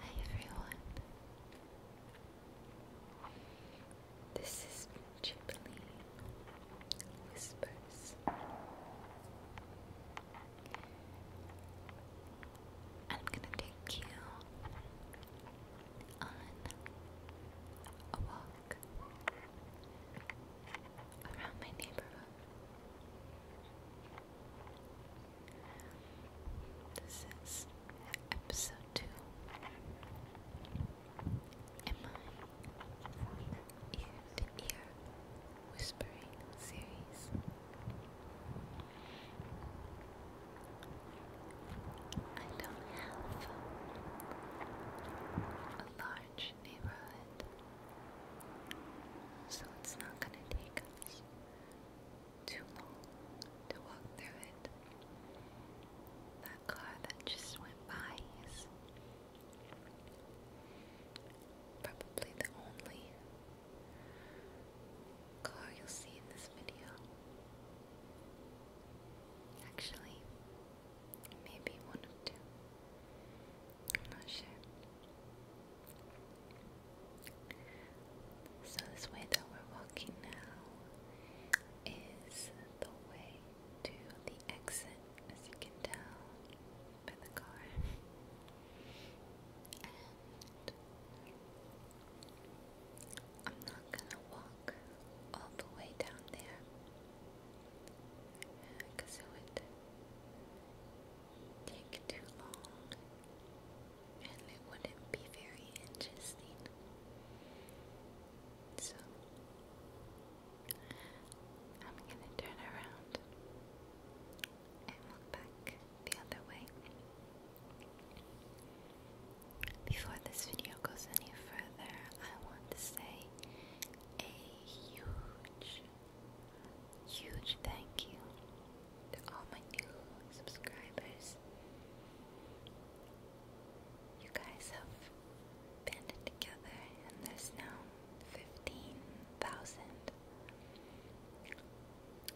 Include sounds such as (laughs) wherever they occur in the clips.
Hi everyone. This is Ghibli Whispers. I'm gonna take you on a walk around my neighborhood. This is episode two in my ear to ear whispering series. I don't have a large neighborhood, so it's not going to take us too long to walk through it. That car that just went by is probably the only color you'll see in this video. Actually, maybe one of two. I'm not sure. So, this way that we're walking now is the way to the exit, as you can tell by the car. I'm not gonna walk all the way down there because it would take too long and it wouldn't be very interesting. So I'm gonna turn around and look back the other way. Before this video goes any further, I want to say a huge, huge thank you to all my new subscribers. You guys have banded together, and there's now 15,000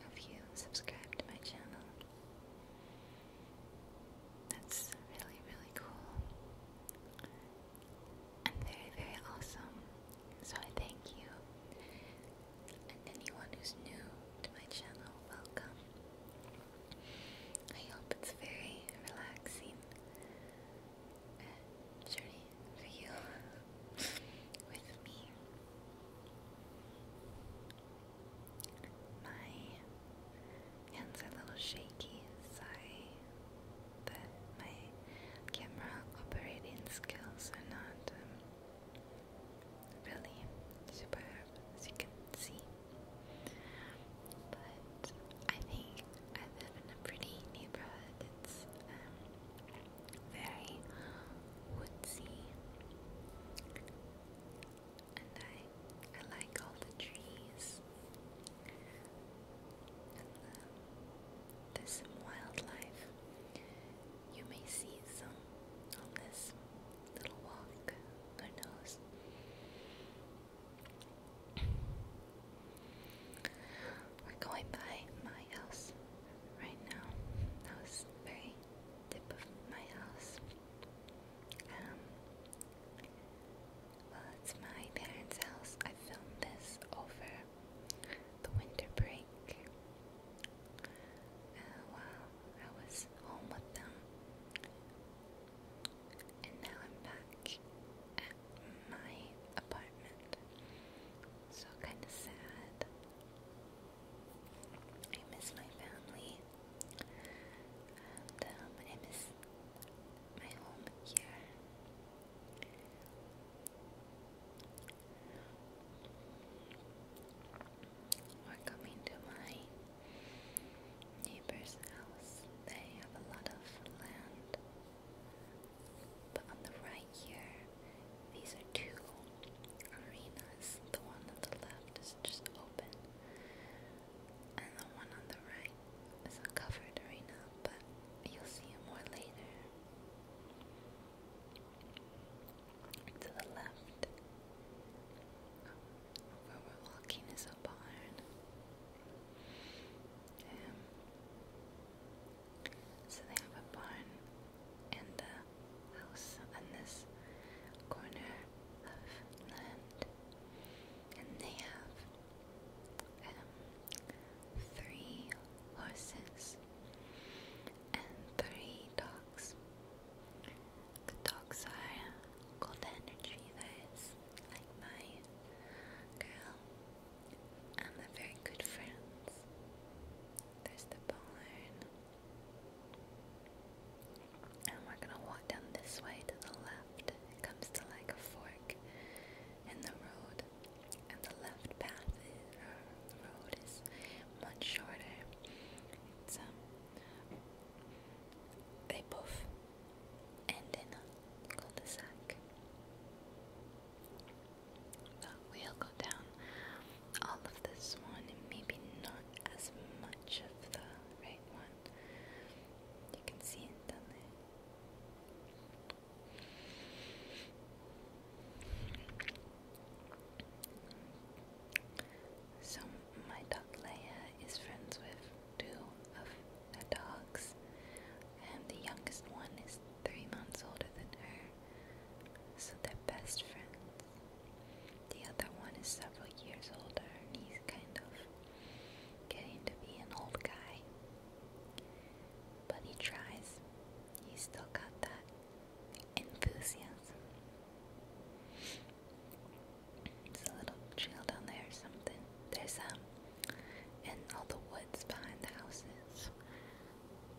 of you subscribed to my channel. That's really, really cool and very, very awesome. So I thank you. And anyone who's new to my channel, welcome. I hope it's very relaxing journey for you (laughs) with me. My hands are a little shaky, sorry my camera operating skills are not um, really superb as you can see. But I think I live in a pretty neighborhood. It's um, very woodsy and I I like all the trees and the, um, there's wildlife. You may see some on this little walk. Who knows? We're going by my house right now. That was very tip of my house. Um, well, it's my parents' house. I filmed this over the winter break. Uh, I was home with them, and now I'm back at my apartment. So kind of sad. I miss my family, um, I miss my home here. We're coming to my neighbor's house. They have a lot of land, but on the right here these are two arenas. The one on the left is just open, and the one on the right is a covered arena, but you'll see it more later. To the left, where we're walking, is a barn. Um, so they have a barn and a house on this corner of land, and they have um, three horses and three dogs. The dogs are golden retrievers, like my girl, and they're very good friends. There's the barn. And we're going to walk down this way to the left. It comes to like a fork in the road. And the left path or the uh, road is much shorter. It's, um, they both end in a cul-de-sac. But we'll go down all of this one and maybe not as much of the right one. You can see it down So my dog Leia is friends with two of the dogs and the youngest one is three months older than her so they're best friends. The other one is several years older and he's kind of getting to be an old guy. But he tries. He's still got that enthusiasm. It's a little trail down there or something. There's um and all the woods behind the houses.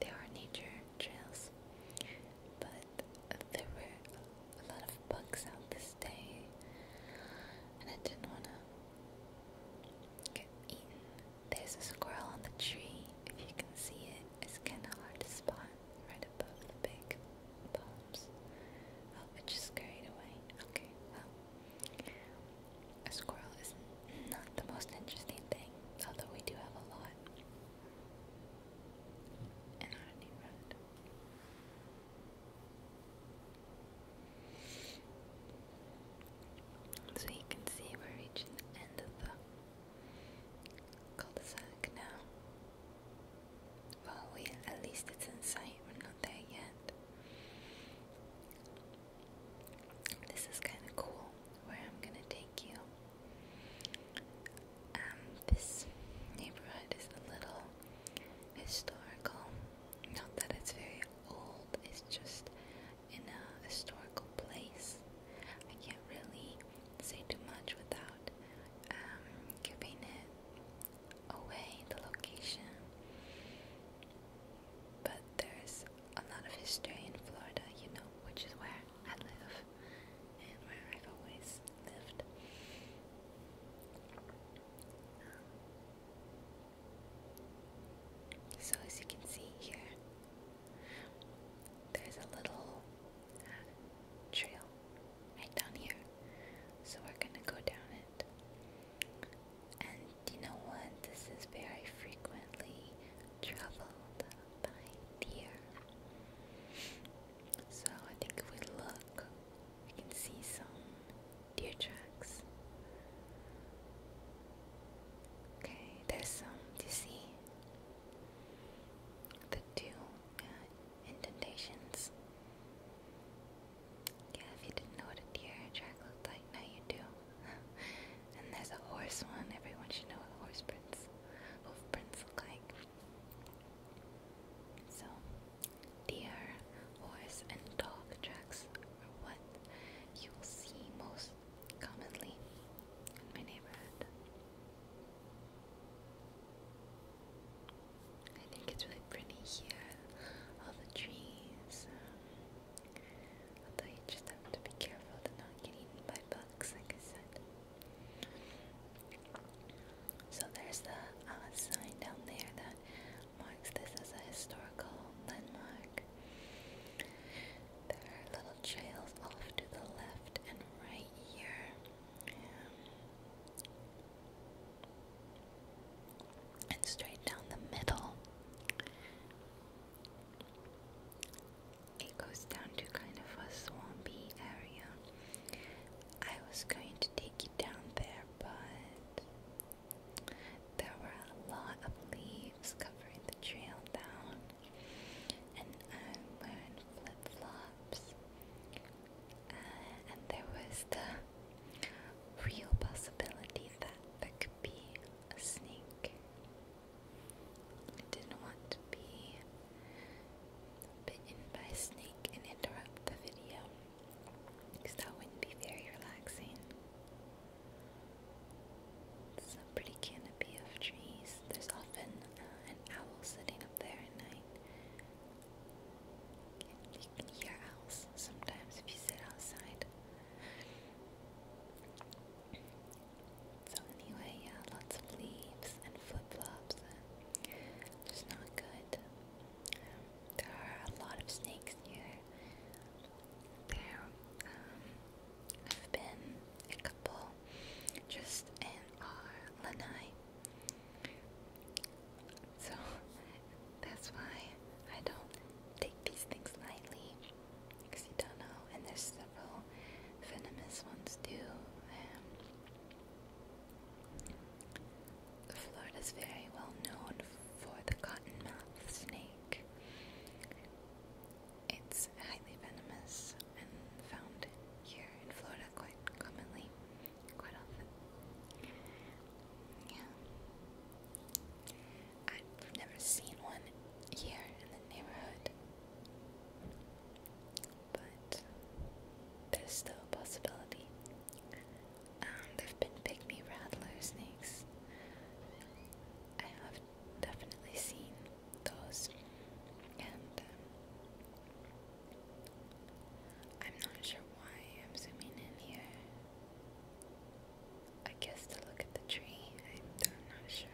There are nature trails. But there were a lot of bugs out this day, and I didn't want to get eaten. There's a squirrel on the tree, if you can see it. It's kind of hard to spot right above the big palms. Oh, it just scurried away. Okay, well, a squirrel is not the most interesting thing, although we do have a lot. So you can see we're reaching the end of the cul-de-sac now. Well, we at least it's in sight. We're not there yet. This is kind of cool. Where I'm gonna take you. Um, this neighborhood is a little historical. Not that it's very old, it's just in a historical place. I can't really say too much without um, giving it away, the location. But there's a lot of history in Florida, you know, which is where I live and where I've always lived. Um, so as you can see here, there's a little uh, trail right down here. So we're gonna go down it. And you know what? This is very frequently traveled behind here. So I think if we look, we can see some deer tracks. Okay, there's some to see. The two uh, indentations. Yeah, if you didn't know what a deer track looked like, now you do. (laughs) And there's a horse one. Everyone should know what horse prints, hoof prints look like. So, deer, horse, and dog tracks are what you will see most commonly in my neighborhood. I think it's really pretty here, all the trees. Um, although just have to be careful to not get eaten by bugs, like I said. So there's the uh, sign down there that marks this as a historical landmark. There are little trails off to the left and right here. And straight down the middle it goes down to kind of a swampy area. I was going to take you down there, but there were a lot of leaves covering the trail down, and I'm wearing flip flops. Uh, and there was the real possibility that there could be a snake I didn't want to be bitten by a snake and interrupt the video that wouldn't be very relaxing. It's a pretty canopy of trees. There's often uh, an owl sitting up there at night. you can hear owls sometimes if you sit outside. So anyway, yeah, lots of leaves and flip-flops. Just not good. there are a lot of snakes here. There have um, been a couple just in our lanai. So (laughs) that's why I don't take these things lightly. Oxidano, and there's several venomous ones too. Florida is very well known for the cottonmouth snake. It's highly venomous and found here in Florida quite commonly, quite often. Yeah. I've never seen one here in the neighborhood. But there's still a possibility. Um, there've been pygmy rattler snakes. I have definitely seen those, and um, I'm not sure why I'm zooming in here. I guess to look at the tree. I'm not sure.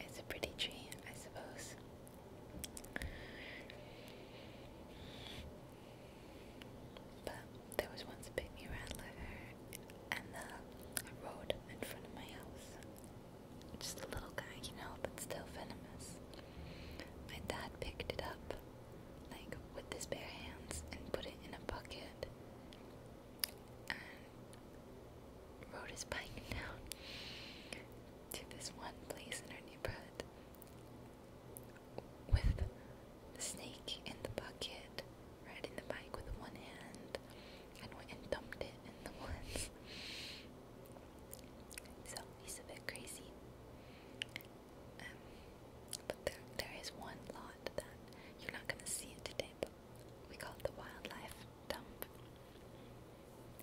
It's a pretty tree, I suppose. But there was once a big new rattler and the road in front of my house. Just a little guy, you know, but still venomous. My dad picked it up, like with his bare hands, and put it in a bucket and rode his bike down to this one place in our neighborhood with the snake in the bucket, riding the bike with one hand, and went and dumped it in the woods. So he's a bit crazy. Um, but there, there is one lot that you're not gonna see it today, but we call it the wildlife dump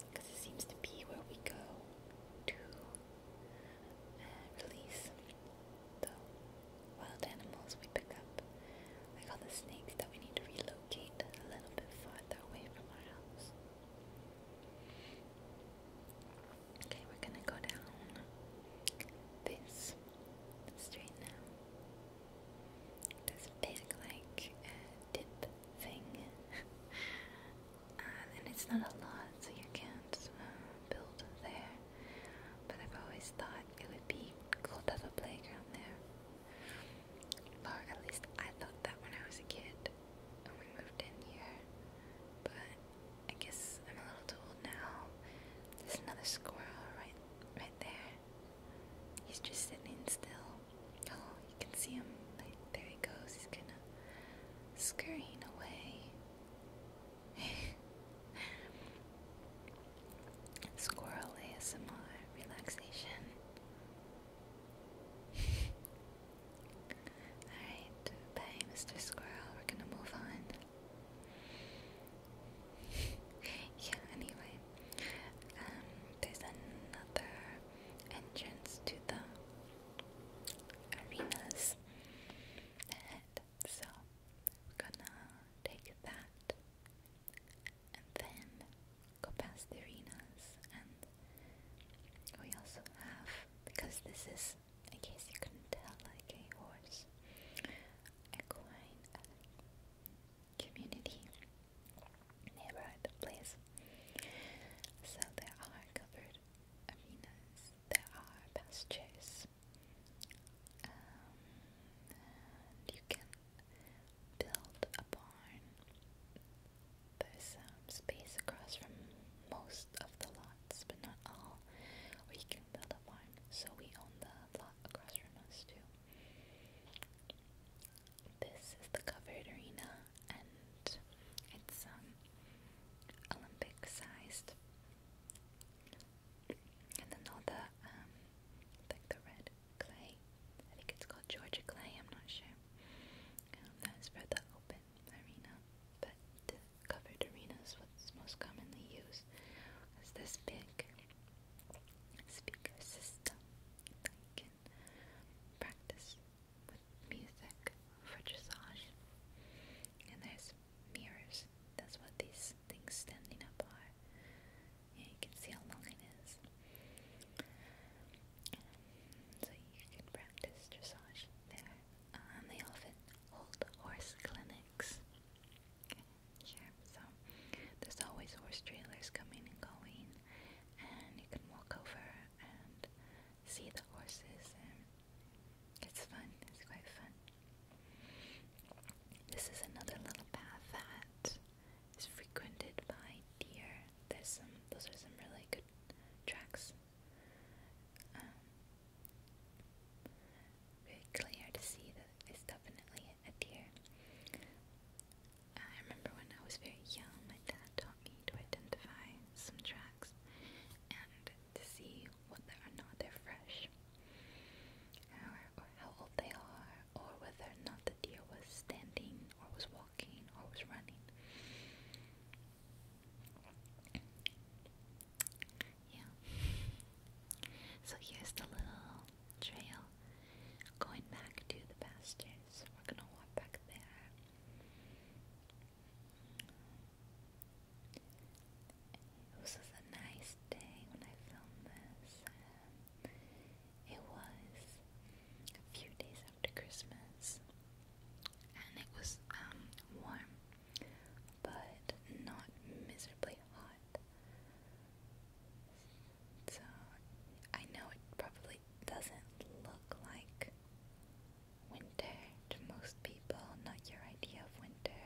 because it seems to be where we go to uh, release the wild animals we pick up, like all the snakes that we need to relocate a little bit farther away from our house. Okay, we're gonna go down this straight now this big like uh, thing, (laughs) and it's not a lot, so you can't uh, build there. But I've always thought it would be cool to have a playground there, or at least I thought that when I was a kid when we moved in here. But I guess I'm a little too old now. There's another squirrel right, right there. He's just sitting still. Oh, you can see him. Like, there he goes. He's kind of scurrying away. (laughs) Squirrel ASMR relaxation. (laughs) Alright, bye, Mr. Squirrel. We're gonna move on. (laughs) yeah, anyway, um, there's another entrance to the arena's head, so we're gonna take that and then go past the arenas. And we also have, because this is, in case you couldn't tell, like a horse, equine community, neighborhood place. So there are covered arenas, there are pastures, um, you can build a barn. There's space across from most of the lots, but not all, where can build a barn. So we own the across from us too. This is the covered arena, and it's um Olympic-sized. And then all the um like the red clay. I think it's called Georgia clay. I'm not sure. Um, that's for the open arena, but the covered arena what's most commonly used. It's this big speaker system that you practice with music for dressage. And there's mirrors. That's what these things standing up are. you can see how long it is. so you can practice dressage there. Um, they often hold horse clinics. Sure, so there's always horse trailers coming and going, and you can walk over and see the horses, and it's fun, it's quite fun. This is another little path that is frequented by deer. There's some, those are some really good tracks. very um, clear to see that it's definitely appear. I remember when I was very young, my dad taught me to identify some tracks and to see whether or not they're fresh, or how old they are, or whether or not the deer was standing, or was walking, or was running. Yeah. So here's the little trail going back to the pastures. we're gonna walk back there. This is a nice day when I filmed this. Um, it was a few days after Christmas, and it was um, warm, but not miserably hot lot. So I know it probably doesn't look like winter to most people, not your idea of winter.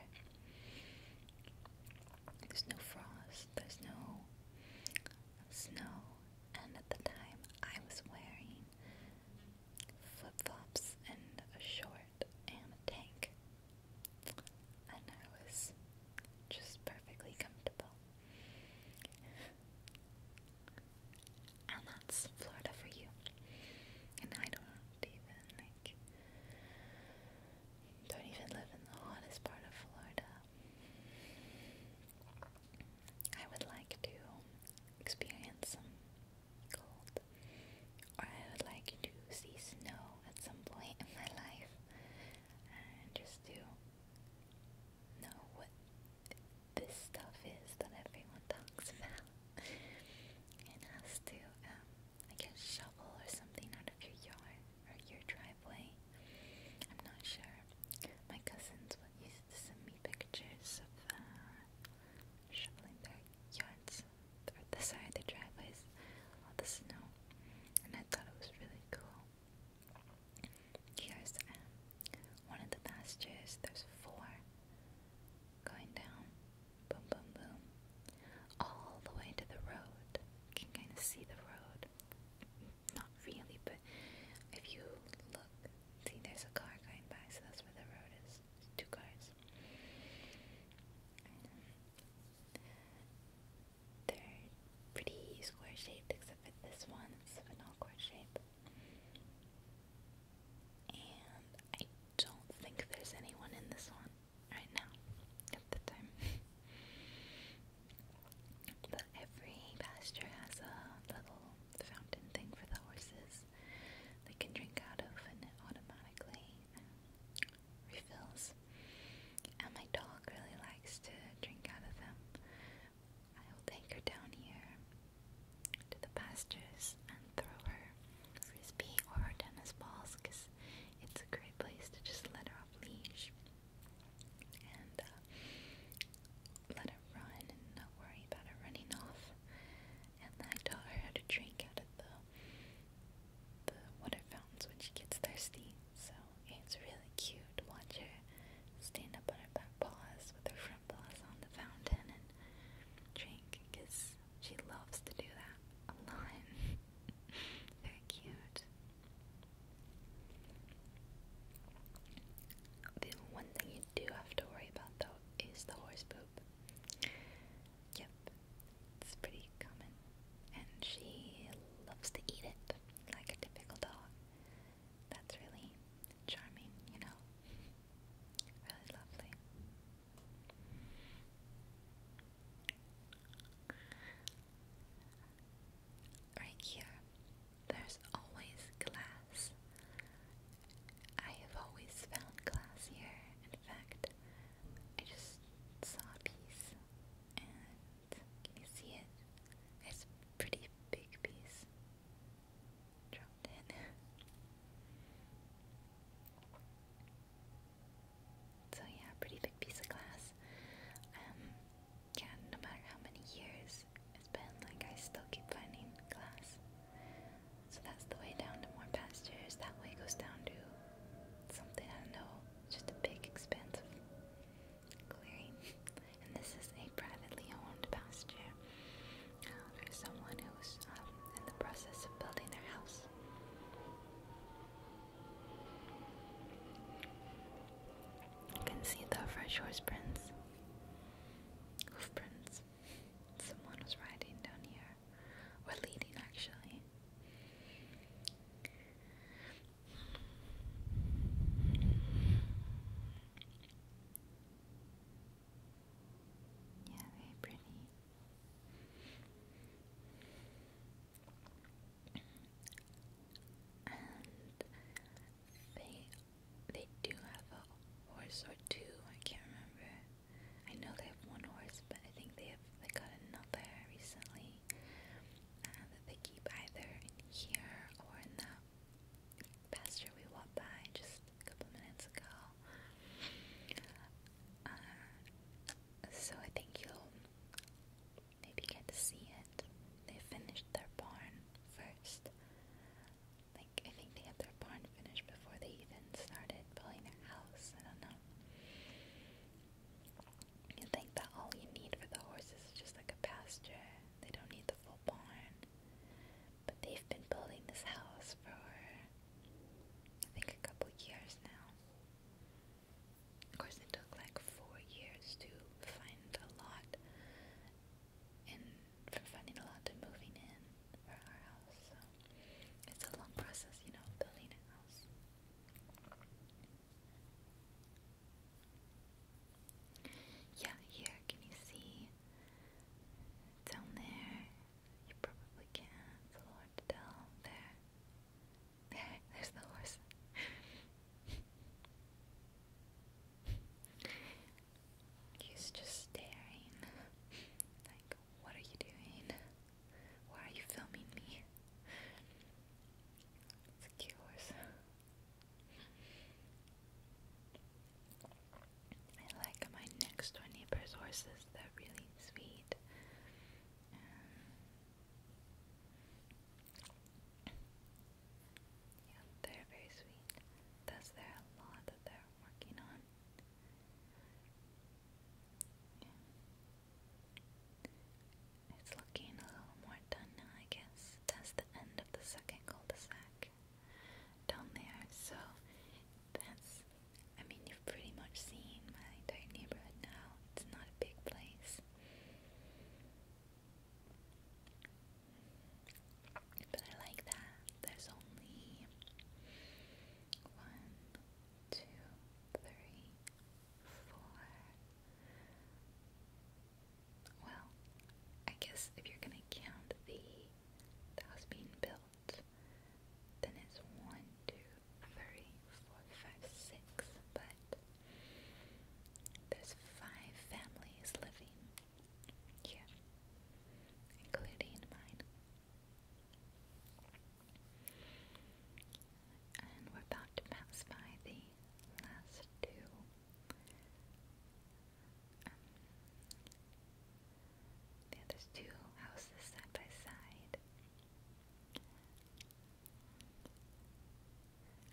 There's no frost, there's no snow, and at the time I was wearing flip flops and a short and a tank. And I was just perfectly comfortable. And that's Florida for you. And I don't even like don't even live in the hottest part of Florida. I would like to experience some cold or I would like to see snow at some point in my life and just to know what this stuff is that everyone talks about. it has to, um, I guess, shovel or something out of your yard or your driveway. I'm not sure. My cousins would used to send me pictures of uh, shoveling their yards the side of the driveways, all the snow, and I thought it was really cool. Here's um, one of the pastures. There's four going down, boom, boom, boom, all the way to the road. You can kind of see the road, not really, but if you look, see, there's a car going by, so that's where the road is. two cars. They're pretty square shaped except for this one, it's an awkward shape. And I don't think there's anyone in this one right now at the time. (laughs) but every pasture has a little fountain thing for the horses they can drink out of, and it automatically refills. And my dog really likes to drink out of them. I will take her down here to the pastures and throw her frisbee or her tennis balls because it's a great place to just let her off leash and uh, let her run and not worry about her running off. And I taught her how to drink out of the the water fountains when she gets thirsty. So it's really cute. to Watch her stand up on her back paws with her front paws on the fountain and drink because she loves to do that a lot. (laughs) Very cute. The one thing you do have to worry about though is the horse poop. Yep, it's pretty common. And she loves to eat it like a typical dog. That's really charming, you know? Really lovely. Right here, there's always glass. I have always found glass here, in fact, I just saw a piece, and can you see it? It's pretty big piece. (laughs) so yeah, pretty big piece of glass. Um, yeah, no matter how many years it's been, like I still keep finding glass. So that's the way down to more pastures. That way goes down to something I don't know, just a big expansive clearing. and this is a privately owned pasture uh, for someone who's um, in the process of building their house. You can see the fresh horse prints, hoof prints. Someone was riding down here we're leading actually. Yeah, very pretty. And they they do have a horse or two, I can't remember. I know they have one horse, but I think they have they got another recently uh, that they keep either in here or in that pasture we walked by just a couple minutes ago. Uh, so I think you'll maybe get to see it. They finished their barn first. Like I think they had their barn finished before they even started building their house. I don't know. You think that all you need for the horses is just like a pasture. They don't need the full barn. But they've been building this house for I think a couple years now. Of course it took like four years to find a lot and from finding a lot to moving in for our house, so it's a long process, you know, building a house. Yeah, here, can you see? Down there, you probably can't, it's tell. There, there, (laughs) there's the horse. (laughs) He's just staring. (laughs) like, what are you doing? Why are you filming me? It's cute I like my next door neighbor's horses, they're really sweet. Um, yeah, they're very sweet. That's there lot that they're working on. It's looking a little more done now, I guess. That's the end of the second cul-de-sac down there, so that's, I mean, you've pretty much seen my entire neighborhood now. It's not a big place. But I like that. There's only one, two, three, four. Well, I guess if you're gonna count the house being built, then it's one, two, three, four, five, six, but there's five families living here, including mine. And we're about to pass by the last two. Um, yeah, two houses side by side.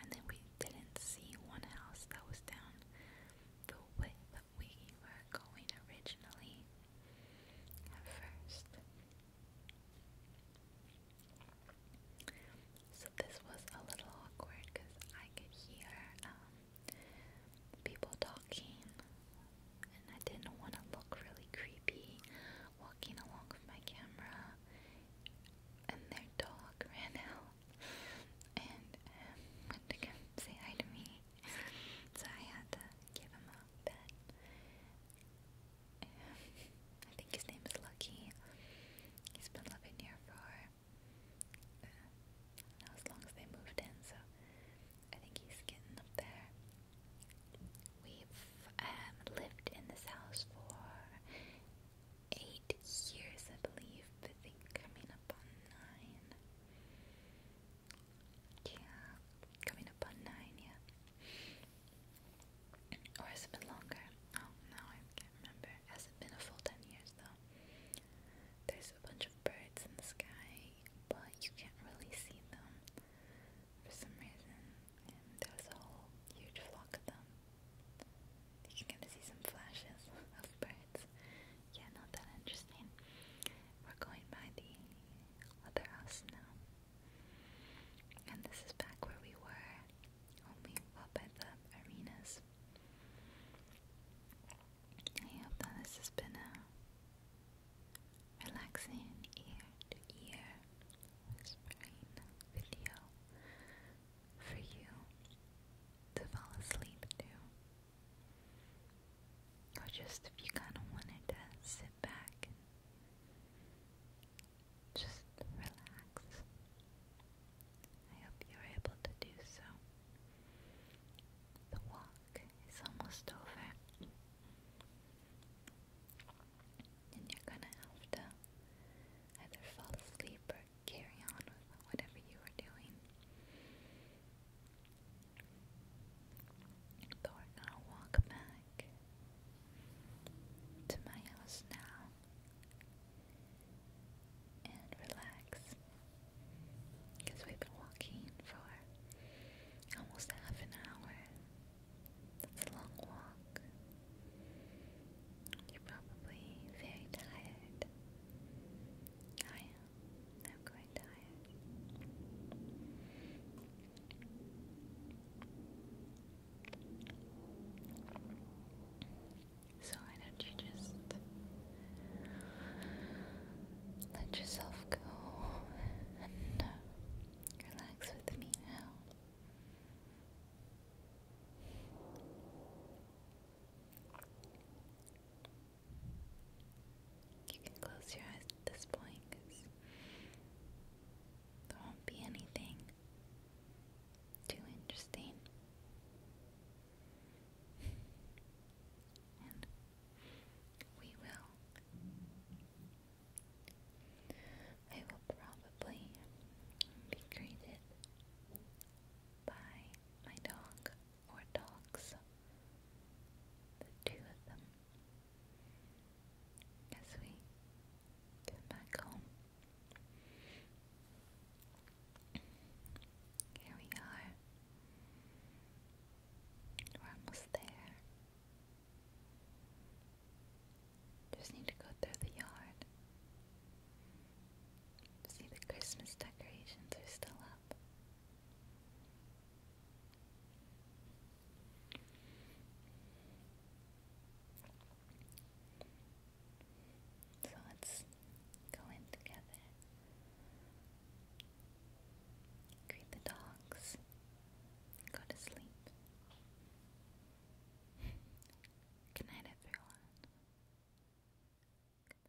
And then we didn't see one house that was down the way that we were going originally at first. So this was a little awkward because I could hear um, people talking and I didn't want to look really creepy walking along with my camera and their dog (laughs) ran out and um, went to come say hi to me so I had to give him a pet. I think his name is Lucky. He's been living here for uh, as long as they moved in, so I think he's getting up there. We've um, lived in this house for eight years, I believe, I think coming up on nine. Yeah, coming up on nine, yeah. Or has it been longer? Oh, no, I can't remember. Has it been a full 10 years, though? There's a bunch of birds in the sky, but you can't really see them for some reason. And there's a whole huge flock of them. You can kind of see some flashes (laughs) of birds. Yeah, not that interesting. We're going by the other house now. And this is back where we were when up at the arenas. I hope that this has been a relaxing ear to ear whispering video for you to fall asleep to. Or just if you kind of wanted to sit back and just relax. I hope you're able to do so. The walk is almost over. And you're gonna have to either fall asleep or carry on with whatever you are doing. But we're gonna walk back to my house now and relax because we've been walking for almost half an hour. That's a long walk. You're probably very tired. I so why don't you just let yourself go and uh, relax with me now? You can close your eyes at this point because there won't be anything too interesting. And we will. I will probably be greeted by my dog or dogs, the two of them, as we get back home. Here we are. We're almost there. Just need to go through the yard. See the Christmas decorations are still up up. So let's go in together. Greet the dogs. Go to sleep. Good night, everyone. Goodbye.